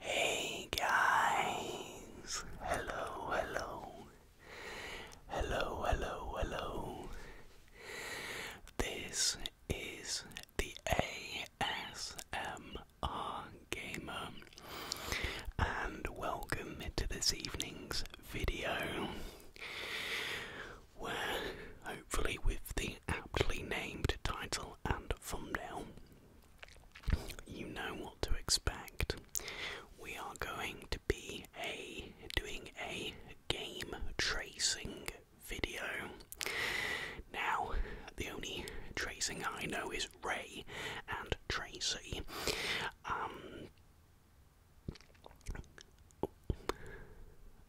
Hey guys, hello, hello, hello, hello, hello. This is the ASMR gamer, and welcome to this evening's video, where hopefully, with the aptly named title and thumbnail, you know what to expect. We are going to be a doing a game tracing video. Now, the only tracing I know is Ray and Tracy. Um,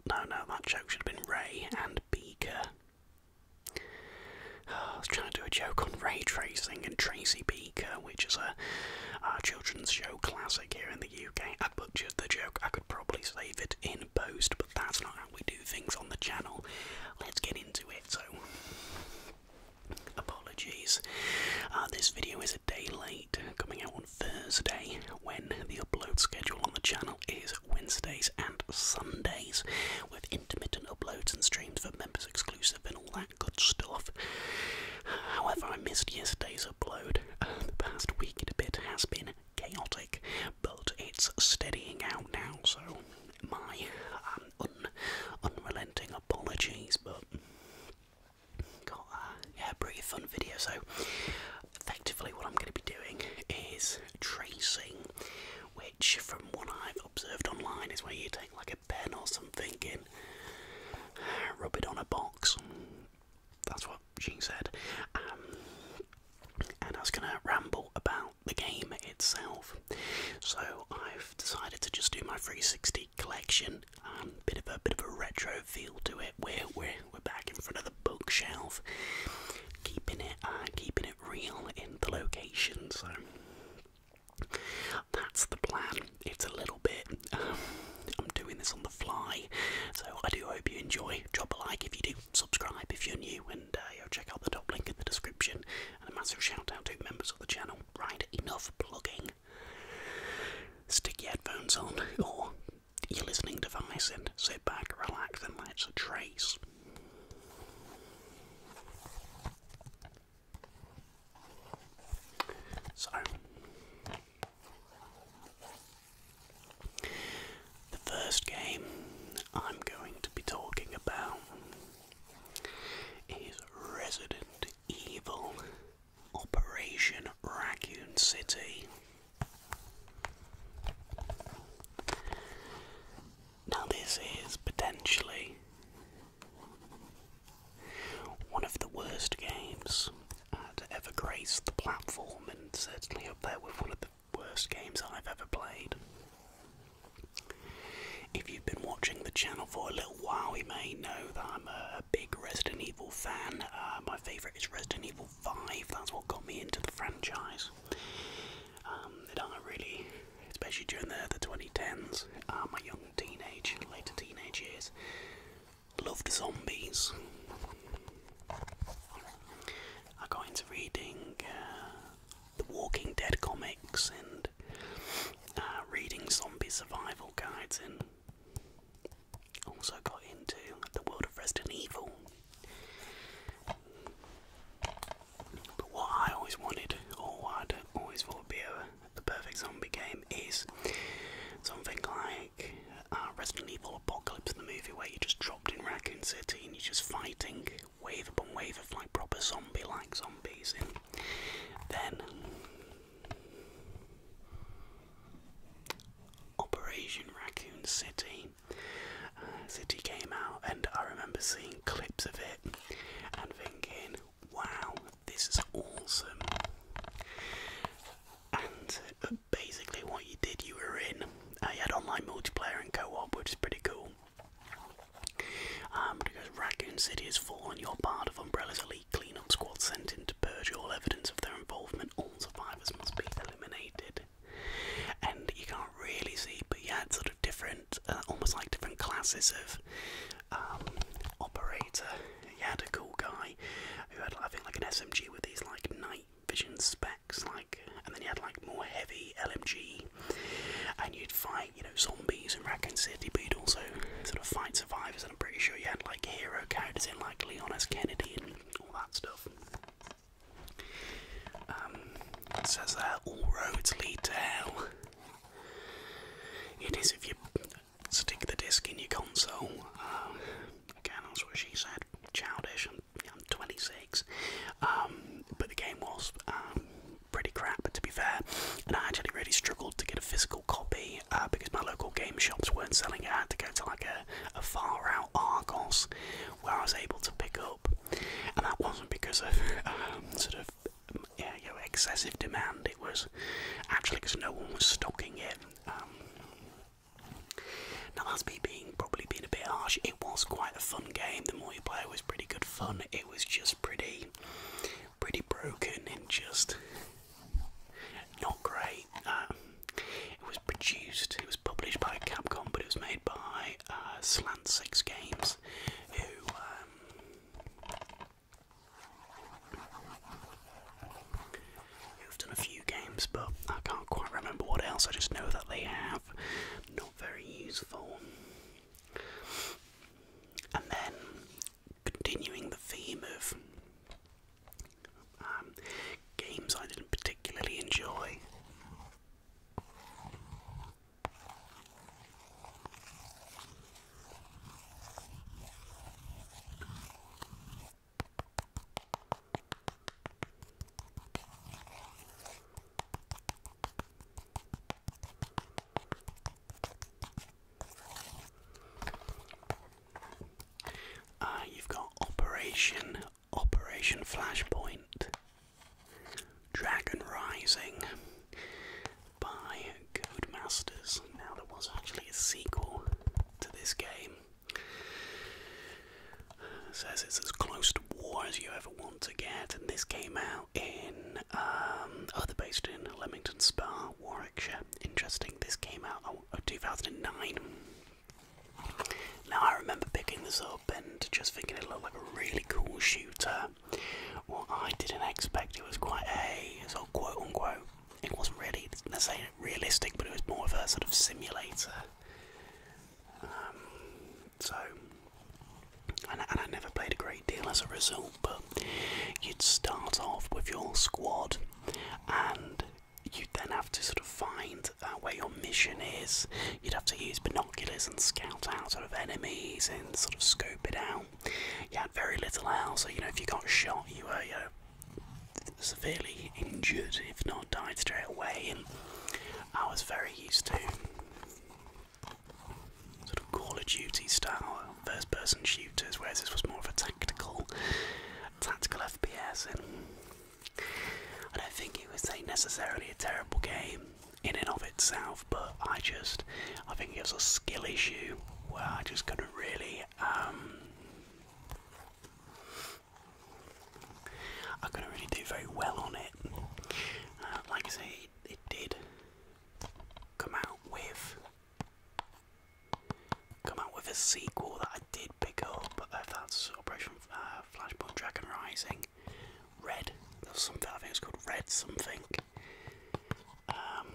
no, no, that joke should have been Ray and Beaker. I was trying to do a joke on ray tracing and Tracy Beaker, which is a, a children's show classic here in the UK. I butchered the joke, I could probably save it in post, but that's not how we do things on the channel. Let's get into it. So, Apologies. Uh, this video is a day late, coming out on Thursday when the upload schedule on the channel is Wednesdays and Sundays with intermittent uploads and streams for members exclusive and all that good stuff. However, I missed yesterday's upload. Uh, the past week and a bit has been chaotic, but it's steadying out now, so my um, unrelenting apologies, but got uh, a pretty fun video. So, effectively, what I'm going to be doing is tracing, which, from what I've observed online, is where you take like a pen or something and rub it on a box. That's what she said. Um, and I was going to ramble about the game itself. So I've decided to just do my 360 collection. Um, bit of a bit of a retro feel to it. Where we're we're back in front of the bookshelf, keeping it uh, keeping it real in the location. So that's the plan. It's a little bit. Um, I'm doing this on the fly, so I do hope you enjoy. Drop a like if you do, subscribe if you're new, and and uh, check out the top link in the description. And a massive shout out to members of the channel. Right, enough plugging. Stick your headphones on or your listening device and sit back, relax, and let's trace. So, the first game I'm going to be talking about is Resident Evil Operation Raccoon City. Now, this is potentially one of the worst games uh, to ever grace the platform, and certainly up there with one of the worst games I've ever played. If you've been watching the channel for a little while, you may know that I'm a big Resident Evil fan. Uh, my favourite is Resident Evil 5, that's what got me into the franchise. Um, I really, especially during the, the 2010s, uh, my young teenage, later teenage years, loved zombies. I got into reading uh, the Walking Dead comics and uh, reading zombie survival guides, and also got into the world of Resident Evil. But what I always wanted, or what I'd always thought would be the perfect zombie game, is something like uh, Resident Evil Apocalypse, the movie where you just dropped in Raccoon City and you're just fighting wave upon wave of like proper zombie like zombies in. Then Operation Raccoon City. Uh, city came out, and I remember seeing clips of it and thinking, wow, this is awesome. And uh, basically, what you did, you were in. Uh, had online multiplayer and co op, which is pretty cool. Um, because Raccoon City is full on your part of Umbrella's elite cleanup squad sent in to purge all evidence of their involvement. All survivors must be eliminated. And you can't really see, but yeah, it's sort of different, uh, almost like different classes of um, operator. He had a cool guy who had, I like an SMG with these like night vision specs like, and then you had like more heavy LMG, and you'd fight, you know, zombies and Raccoon City, but you'd also sort of fight survivors, and I'm pretty sure you had like hero characters in like Leon Kennedy and all that stuff. Um, says there, all roads lead to hell. It is if you stick the disc in your console. Um, again, that's what she said childish. I'm, I'm 26, um, but the game was um, pretty crap to be fair, and I actually really struggled to get a physical copy uh, because my local game shops weren't selling it. I had to go to like a, a far out Argos where I was able to pick up, and that wasn't because of um, sort of yeah, you know, excessive demand. It was actually because no one was stocking it. Now that's me being probably being a bit harsh. It was quite a fun game. The more you play, it was pretty good fun. It was just pretty, pretty broken and just not great. Um, it was produced. It was published by Capcom, but it was made by uh, Slant Six Games, um, Who've done a few games, but I can't quite remember what else. I just know that they have not very useful. And then, continuing the theme of um, games I didn't particularly enjoy. Uh, you've got Operation Operation Flashpoint, Dragon Rising by Codemasters. Now there was actually a sequel to this game says it's as close to war as you ever want to get, and this came out in, um, oh, they're based in Leamington Spa, Warwickshire. Interesting, this came out in uh, 2009. Now, I remember picking this up and just thinking it looked like a really cool shooter. What I didn't expect, it was quite a sort quote unquote, it wasn't really, let's say realistic, but it was more of a sort of simulator um, so, and, and I never played a great deal as a result, but you'd start off with your squad and you'd then have to sort of find uh, where your mission is. You'd have to use binoculars and scout out sort of enemies and sort of scope it out. You had very little else, so you know, if you got shot, you were, you know, severely injured, if not died straight away, and I was very used to sort of Call of Duty style first-person shooters, whereas this was more of a tactical, tactical FPS, and I don't think it was necessarily a terrible game in and of itself, but I just, I think it was a skill issue where I just couldn't really. Um, I couldn't really do very well on it. Uh, like I say, it, did come out with come out with a sequel that I did pick up. Uh, that's Operation uh, Flashpoint Dragon Rising. Red, there's something I think it's called Red something. Um,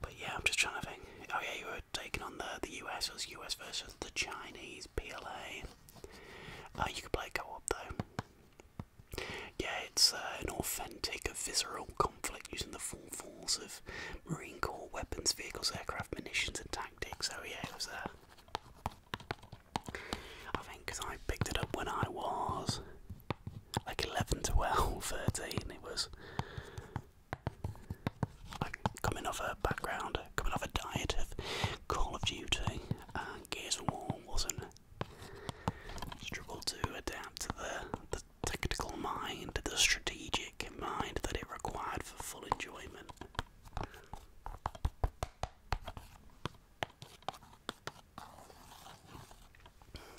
but yeah, I'm just trying to think. Oh yeah, you were taking on the the US. It was US versus the Chinese PLA. Uh, you could play co-op though. Yeah, it's uh, an authentic, visceral conflict using the full force of Marine Corps weapons, vehicles, aircraft, munitions, and tactics. So yeah, it was there. Uh, I think because I picked it up when I was like 11, to 12, 13. It was coming off a background, coming off a diet of Call of Duty and uh, Gears of War wasn't struggled to adapt to the, the tactical mind, the strategic mind that it required for full enjoyment.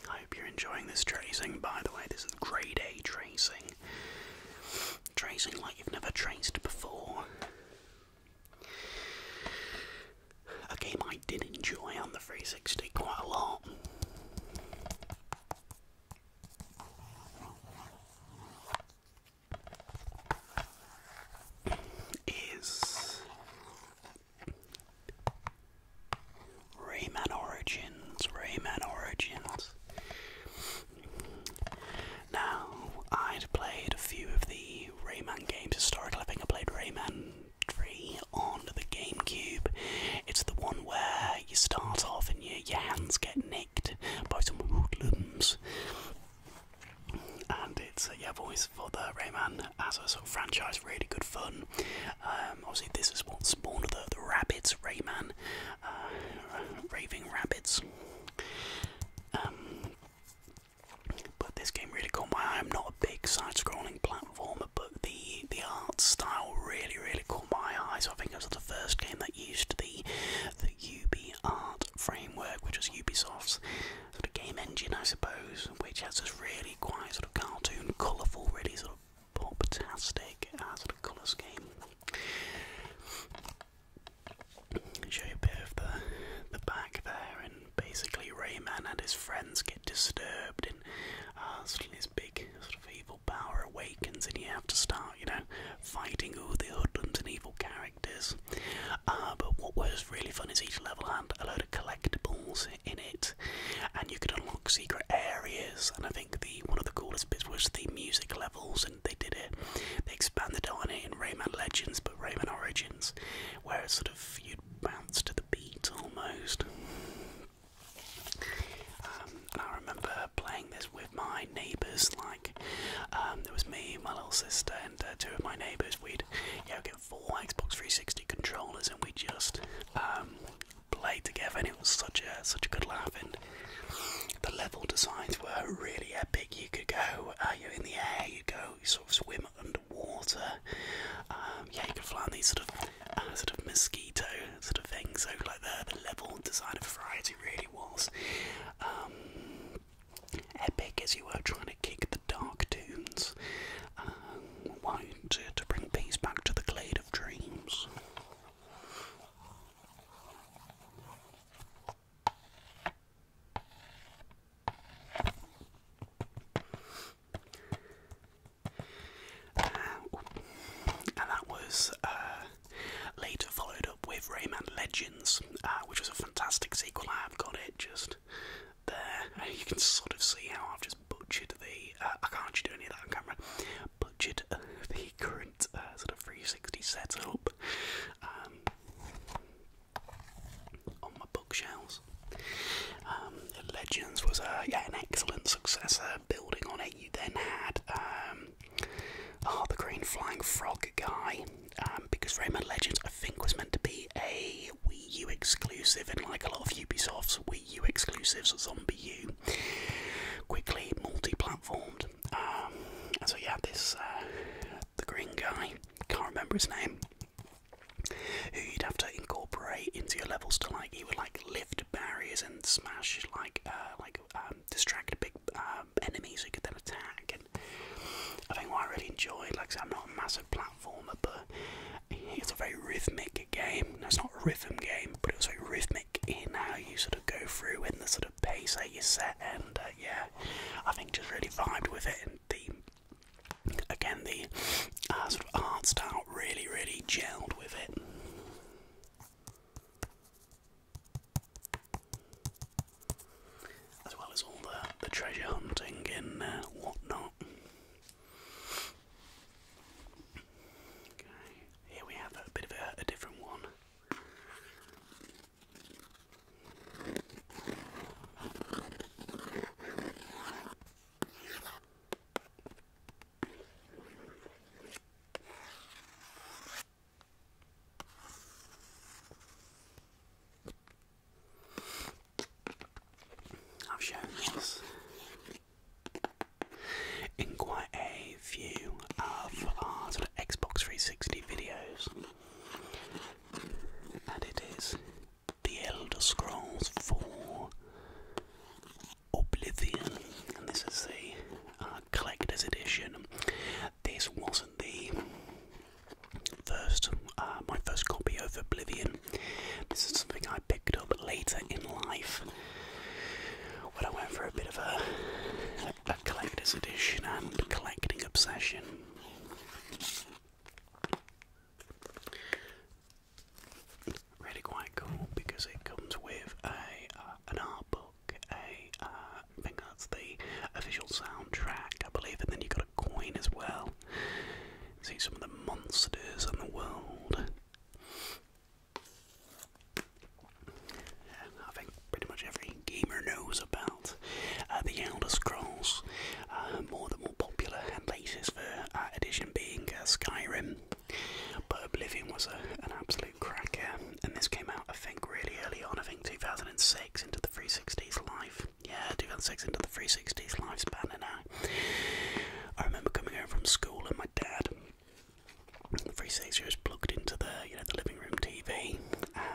I hope you're enjoying this tracing. By the way, this is grade A tracing. Tracing like you've never traced before. A game I did enjoy on the 360 quite a lot. Is Rayman Origins, Rayman Origins. Now, I'd played a few of the Rayman games historically. I think I played Rayman 3 on the GameCube. It's the one where you start off and you, your hands get nicked by some hoodlums. And it's, uh, yeah, voice for the Rayman as a sort of franchise really good fun. Um, obviously, this is what spawned the, the rabbits, Rayman, uh, Raving Rabbits. Um, but this game really caught my eye. I'm not a big side-scrolling platformer, but the the art style really, really caught my eye. So I think it was the first game that used the the UB art framework, which is Ubisoft's sort of game engine, I suppose, which has this really quite sort of cartoon, colourful, really sort of fantastic as a colour scheme. Show you a bit of the the back there, and basically Rayman and his friends get disturbed, and uh, suddenly this big sort of evil power awakens, and you have to start, you know, fighting all the hoodlums and evil characters. Uh, but what was really fun is each level had a load of collectibles in it, and you could unlock secret areas. And I think the one of the coolest bits was the music levels, and they did it. They expanded on it in Rayman Legends, but Rayman Origins, where it's sort of you'd bounce to the beat almost. Um, and I remember playing this with my neighbours. Like um, there was me, my little sister, and uh, two of my neighbours. We'd get four Xbox 360 controllers, and we just um, play together, and it was such a such a good laugh. And the level designs were really epic. You could go, uh, you're in the air, you go, you sort of swim underwater. Um, yeah, you could fly on these sort of uh, sort of mosquito sort of things. So like the the level design of variety really was. Um, epic as you were trying to kick the dark tunes. Um, wine to, bring peace back to the glade of dreams. Uh, and that was uh, later followed up with Rayman Legends, uh, which was a fantastic sequel. I have got it, just there. you can sort of see how I've just butchered the. Uh, I can't actually do any of that on camera. Butchered uh, the current uh, sort of 360 setup um, on my bookshelves. Um, Legends was uh, yeah an excellent successor, building on it. You then had um, oh, the Green Flying Frog guy um, because Raymond Legends I think was meant to be a Wii U exclusive, and like a lot of Ubisoft's Wii U exclusives, Zombie U, quickly multi-platformed. Um, so you so this uh, the green guy, can't remember his name, who you'd have to incorporate into your levels to like he would like lift barriers and smash like uh, like um, distract big um, enemies who could then attack. And I think what I really enjoyed, like I'm not a massive platform but it's a very rhythmic game. it's not a rhythm game, but it's very rhythmic in how you sort of go through and the sort of pace that you set. And uh, yeah, I think just really vibed with it. And the again, the uh, sort of art style really, really gelled with it. As well as all the, the treasure hunting and uh, whatnot. Okay, here we have a bit of a, different one. I've shown this in quite a few of our sort of Xbox 360 videos, and it is The Elder Scrolls 4 Oblivion, and this is the uh, collector's edition. This wasn't the first, uh, my first copy of Oblivion. This is something I picked up later in life when I went for a bit of a, collector's edition and collecting obsession. really quite cool because it comes with a uh, an art book, a uh, that's the official soundtrack, I believe, and then you've got coin as well. See some of the monsters in the world. I think pretty much every gamer knows about uh, the Elder Scrolls, uh, more than more popular and latest for, uh, edition being uh, Skyrim. But Oblivion was a, an absolute cracker, and this came out I think really early on, I think 2006 into the. 360's life. Yeah, 2006 into the 360's lifespan, and I, I remember coming home from school and my dad, the 360 was plugged into the you know the living room TV,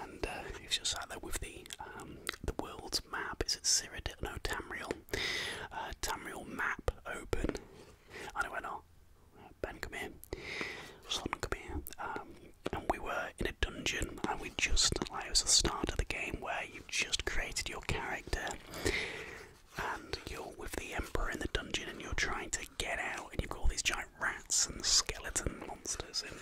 and uh, he was just sat there with the um, the world's map. Is it Cyrodiil? No, Tamriel. Uh, Tamriel map open. I know went on. Oh, ben, come here. Son, come here. Um, and we were in dungeon and we just like it was the start of the game where you just created your character and you're with the emperor in the dungeon and you're trying to get out and you've got all these giant rats and skeleton monsters and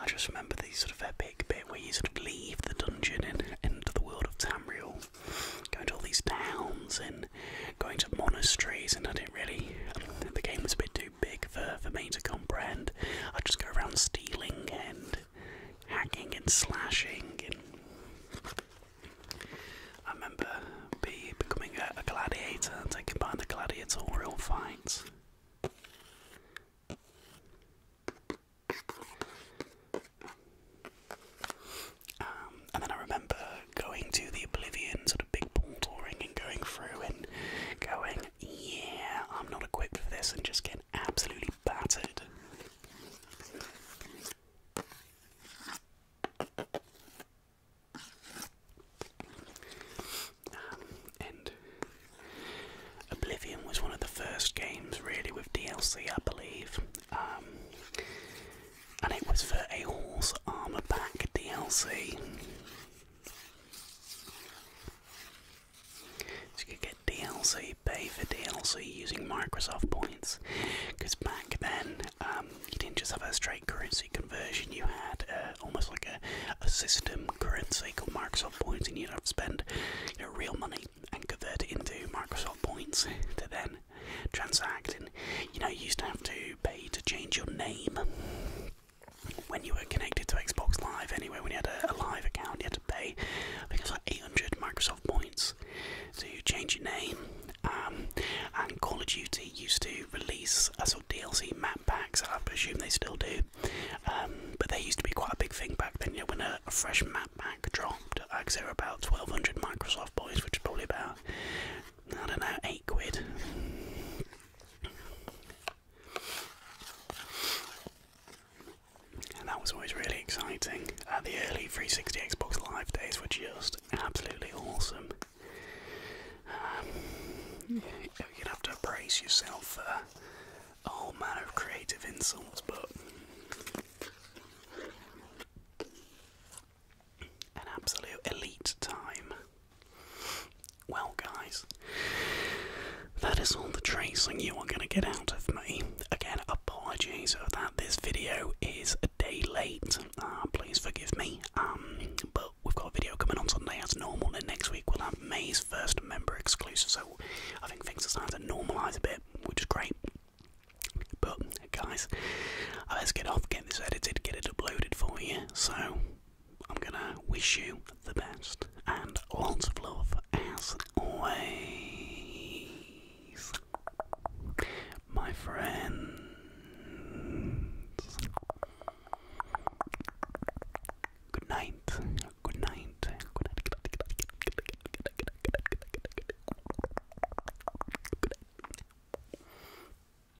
I just remember the sort of epic bit where you sort of leave the dungeon and enter the world of Tamriel, going to all these towns and going to monasteries and I didn't really the game was a bit too too big for, for me to comprehend. I just go around stealing and hacking and slashing. And I remember be, becoming a, gladiator and taking part in the gladiatorial fights. Um, and then I remember going to the Oblivion sort of big portal ring and going through and going yeah, I'm not equipped for this and just get absolutely battered. Um, and Oblivion was one of the first games, really, with DLC, I believe. Um, and it was for a horse armor pack DLC you could get DLC, pay for DLC using Microsoft points. Because back then, um, you didn't just have a straight currency conversion, you had uh, almost like a, system currency called Microsoft points, and you'd have to spend real money and convert it into Microsoft points to then transact. And you know, you used to have to pay to change your name when you were connected to Xbox Live, anyway, when you had a, live account, you had to pay, I think it was like 800 Microsoft points to change your name. Um, and Call of Duty used to release a sort of DLC map packs, I presume they still do. Um, but they used to be quite a big thing back then, you when a, fresh map pack dropped, like they were about 1200 Microsoft points, which is probably about, I don't know, 8 quid. And that was always really exciting. Uh, the early 360 Xbox Live days were just absolutely awesome. Um, you'd have to brace yourself for a whole manner of creative insults, but an absolute elite time. Well, guys, that is all the tracing you are going to get out of me. Again, apologies for that. This video is a day late. Ah, please forgive me. Um, but we've got a video coming on Sunday as normal, and next week we'll have May's first member exclusive. So I think things are starting to normalise a bit, which is great. But guys, uh, let's get off, get this edited, get it uploaded for you. So I'm gonna wish you the best and lots of love as always, my friends. Good night. Good night.